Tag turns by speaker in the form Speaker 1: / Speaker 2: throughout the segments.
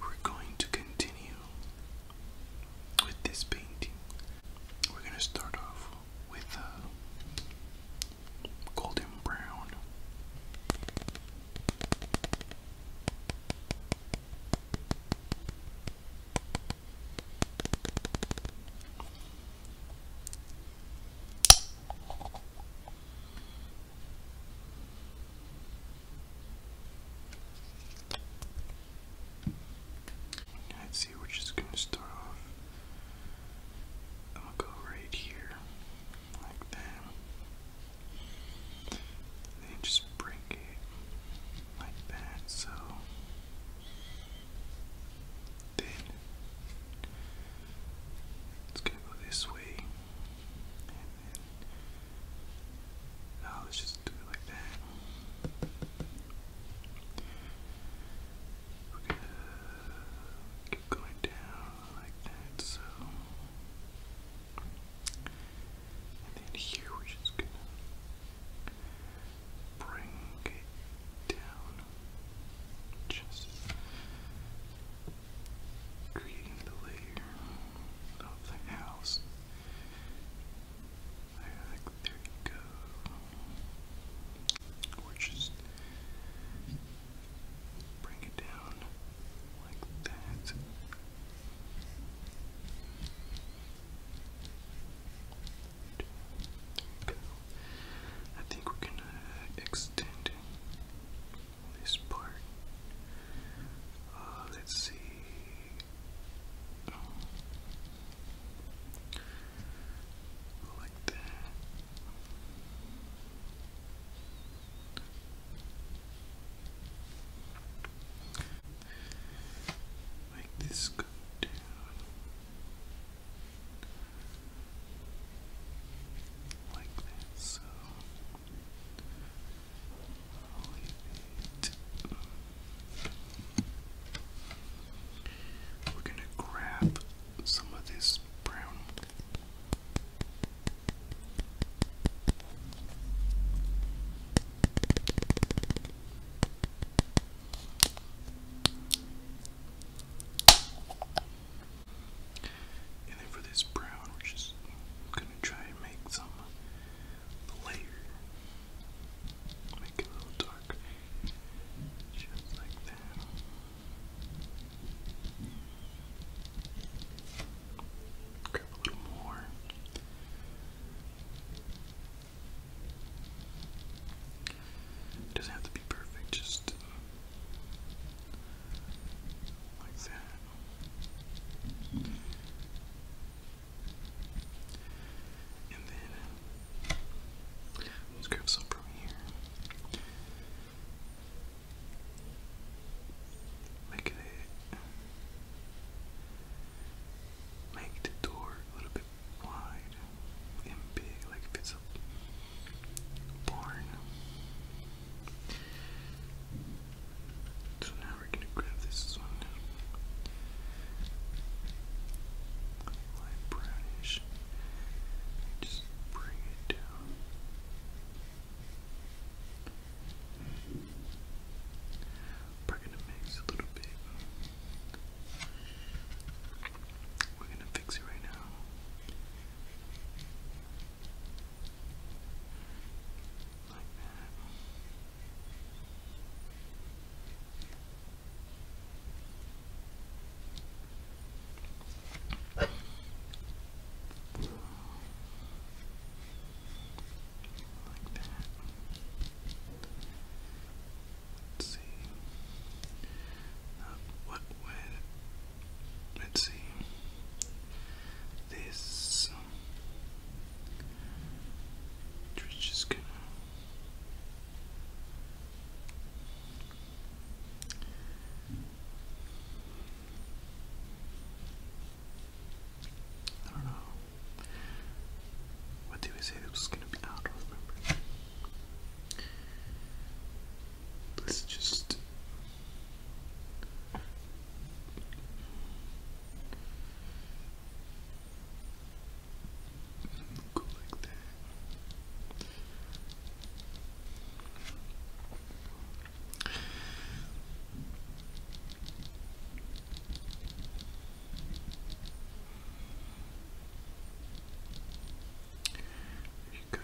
Speaker 1: We're going to continue with this painting. We're going to start off with a uh, golden brown. Let's see, which is gonna start off. I'm go right here, like that. Then just bring it like that, so then it's going go this way. And then, now oh, let's just do it like that. we keep going down like that, so. And then here we're just gonna bring it down just creating the layer of the there you go. Or bring it down like that. I think we're gonna uh, extend this part. Uh, let's see. Like that. Make this go down like so We're going to grab some of this brown. And then for this brown, we're just gonna try and make some layer. Make it a little dark. Just like that. Grab a little more doesn't have to be perfect, just uh, like that. And then let's grab some from here. Make it make the door a little bit wide and big, like if it's a barn. So now we're gonna grab this one. Light brownish. Just bring it down. We're gonna mix a little bit. We're gonna fix it right now. Like that. Like that. Let's see. Um, what would. Let's see. This. we're um, just gonna. I don't know. What did we say it was gonna be out? Let's just go like that. There you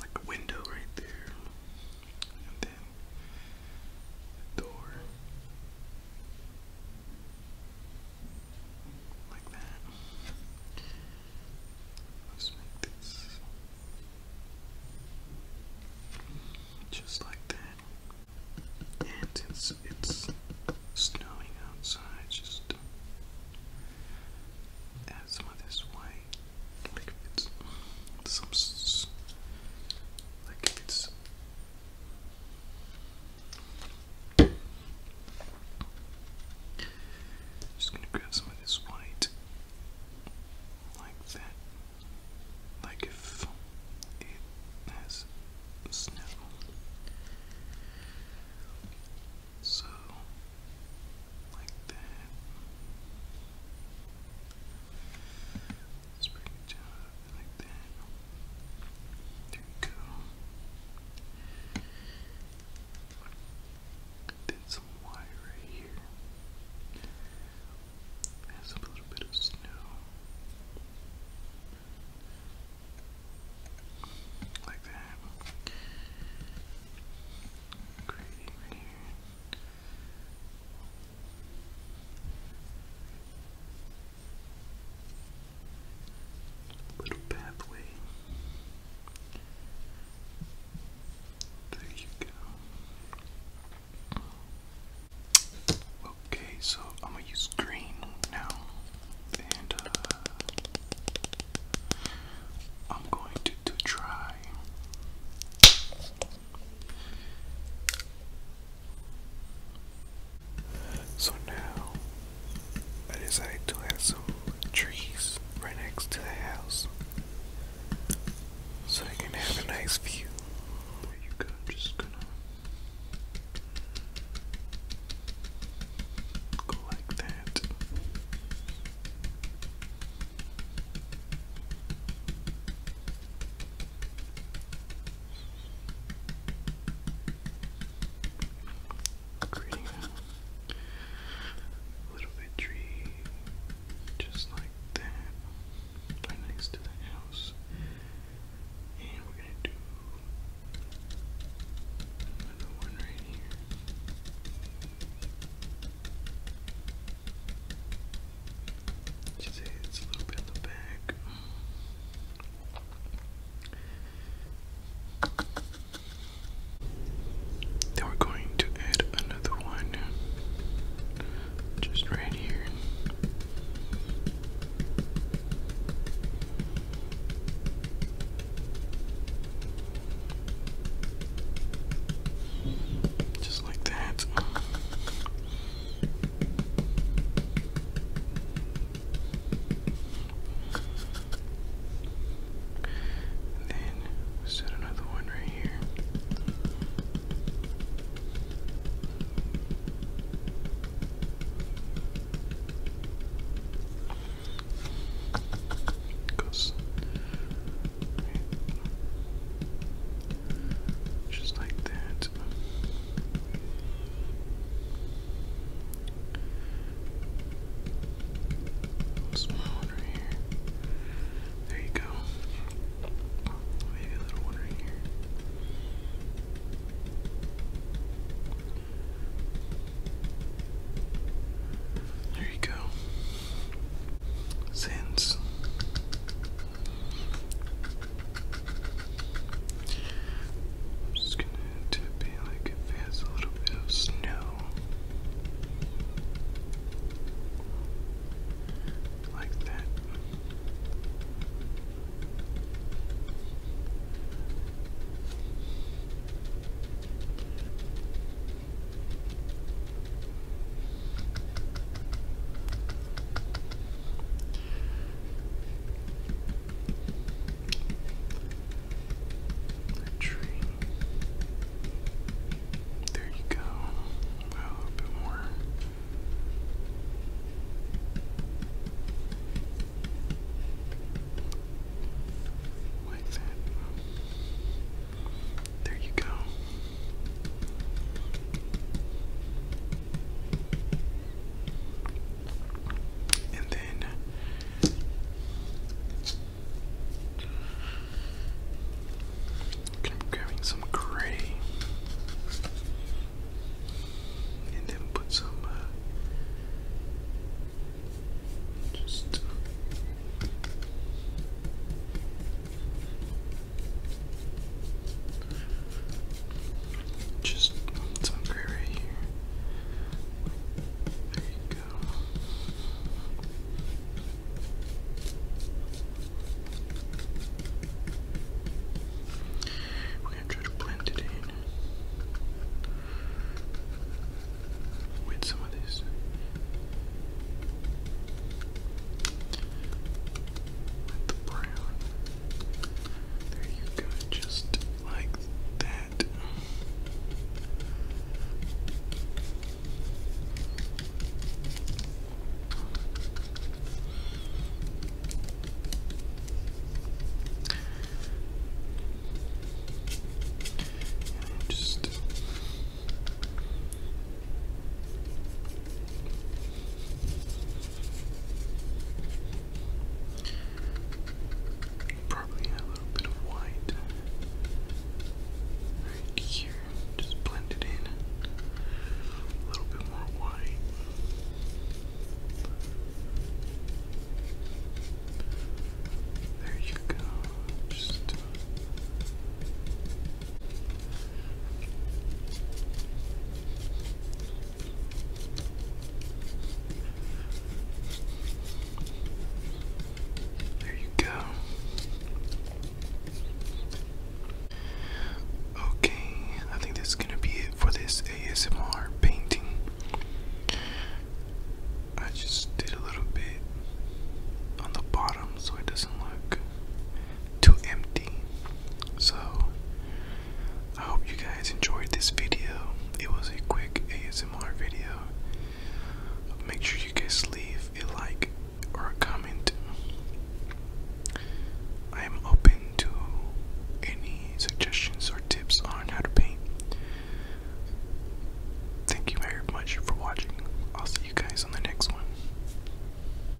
Speaker 1: Like a window right there, and then door like that. Let's make this just like that. And since it's snowing outside, just add uh, some of this white. Like if it's some like if it's just gonna grab some of this white like that. Like if it has snow. So, like that. let it down like that. There we go did some wire right here. Has a little bit of snow. Like that. Creating right here. Little pathway. There you go. Okay, so I'm gonna use green now, and uh, I'm going to try. So now I decided to add some trees right next to the house so you can have a nice view. There you go, just gonna go like that. Creating a little bit tree, just like that, right next to the house. And we're gonna do another one right here. Just a little bit in the back. Then we're going to add another one just right here. Just like that. And then set another one right here. Goes just like that. What's my one right here? There you go. Maybe a little one right here. There you go. Since I'm just gonna tip it like if it has a little bit of snow. Like that tree. There you go. A little bit more. Like that. There you go and then grabbing some gray, and then put some uh, just. Just some gray right here. There you go. We're to blend it in with some of this. With the brown. There you go, just like that. just Probably a little bit of white right here, just blend it in. A little bit more white. There you go. Just uh, there you go. Okay, I think that's gonna be it for this ASMR painting. I just did a little bit on the bottom so it doesn't look to empty. So, I hope you guys enjoyed this video. It was a quick ASMR video. Make sure you guys leave a like or a comment. I am open to any suggestions or tips on how to paint. Thank you very much for watching. I'll see you guys on the next one.